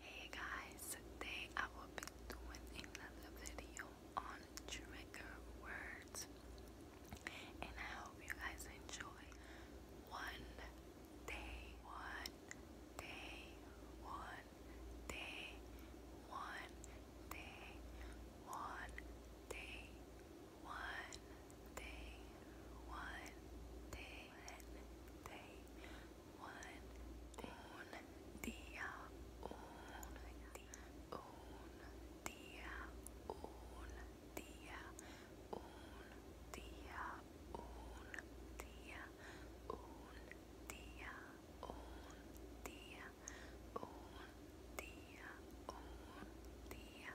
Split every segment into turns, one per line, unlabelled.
Hey guys, today I will be doing another video on trigger words and I hope you guys enjoy. One day, one day, one day, one day, one day, one day, one day, one day, one day, one day, un día, un día, un día, un día, un día, un día, un día, un día, un día, un día,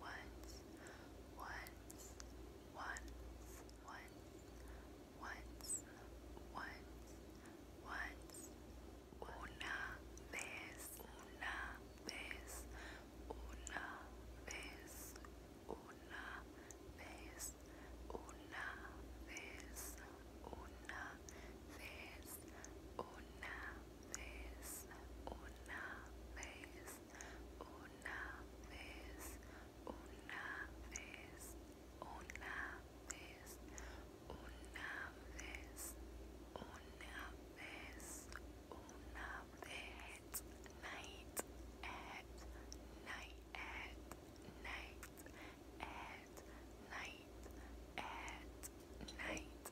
once, once, once, once, once, once, once, una vez, una vez, una vez, una vez, una vez, una vez, una vez, una vez una vez, una vez, una vez, una vez, una vez, una vez, night at night at night at night at night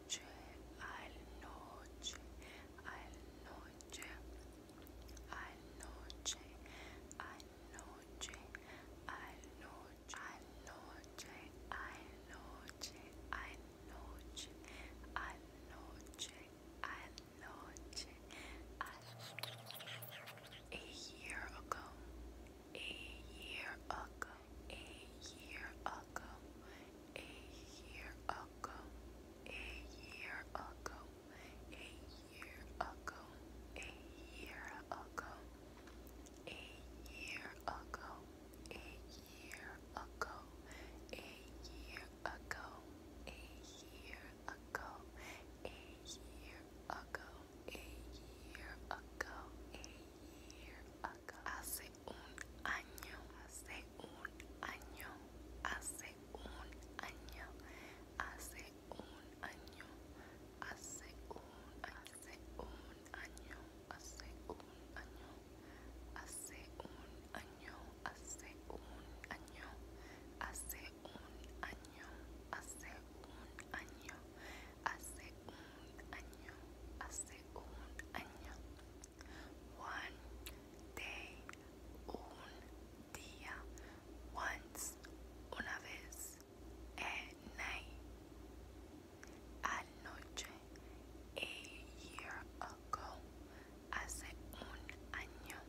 noche, al noche, al noche, al noche, al noche, al noche, al noche, al noche, al noche, al noche, al noche, a year ago, a year ago a year ago, a year ago, a year ago, a year ago, a year ago, a year ago, a year ago, a year ago, a year ago, a year ago, a year ago, a year ago hace un año, hace un año, hace un año, hace un año, hace un, hace un año, hace un año, hace un año, hace un año, hace un año, hace un año, hace un año, hace un año. One day, Once, una vez. At night, at noche. A year ago, hace un año.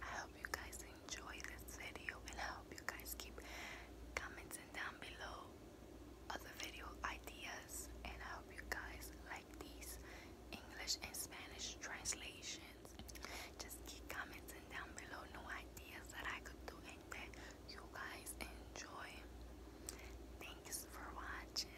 I hope you guys enjoy this video and I hope you guys keep commenting down below other video ideas and I hope you guys like these English and Spanish translations. Just keep commenting down below new ideas that I could do and that you guys enjoy. Thanks for watching.